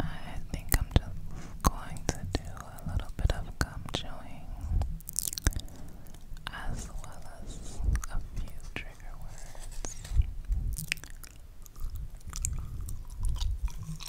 I think I'm just going to do a little bit of gum chewing as well as a few trigger words.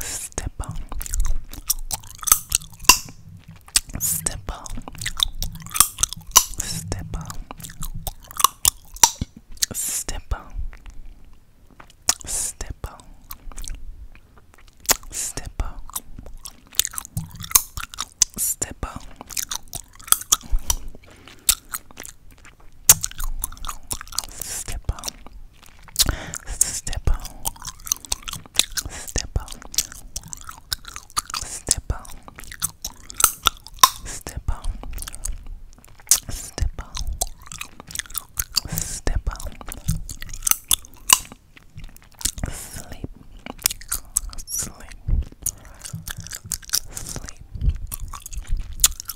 Step on. Step on. Step on. Step on. Step on. Step on. Step on. Step on. Step on. Step on. Step on. Step on. Step on. Step on. Sleep. Sleep. Sleep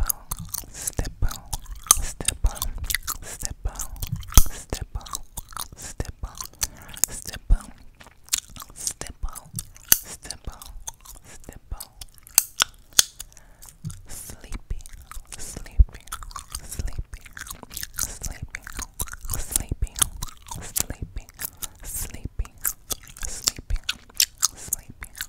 on, step on, step on, step on, step on, step on, step on, step on, step on, step on. Sleepy, sleepy, sleepy, sleepy, sleepy, sleepy, sleepy, sleepy, sleepy.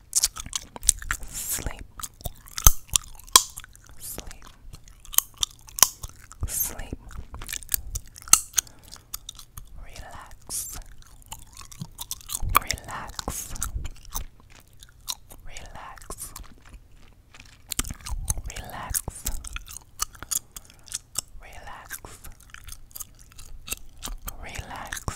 Sleep. Sleep. Sleep. Relax. Relax. Relax. Relax. Relax. Relax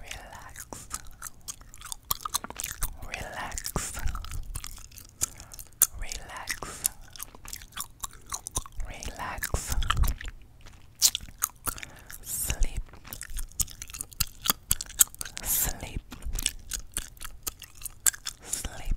relax, relax, relax, relax, sleep, sleep, sleep, sleep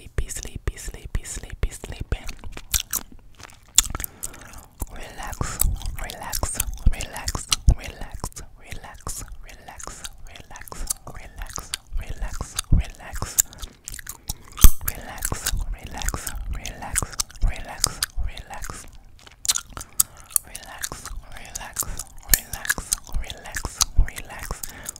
sleepy, sleepy, sleepy, sleepy, sleepy. Relax, relax, relax, relax, relax, relax, relax, relax, relax, relax. Relax, relax, relax, relax, relax. Relax, relax, relax, relax, relax,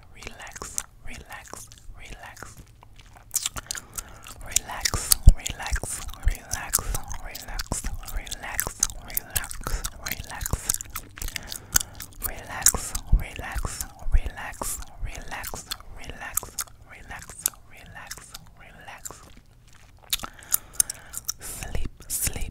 relax, relax, relax, relax, relax, relax, relax, relax, relax, relax. Relax, relax, relax, relax, relax, relax, relax, relax. Sleep, sleep,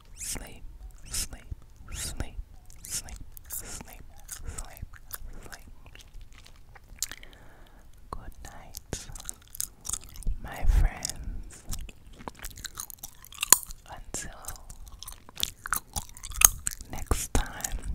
sleep, sleep, sleep, sleep, sleep, sleep, sleep. Good night, my friends. Until next time.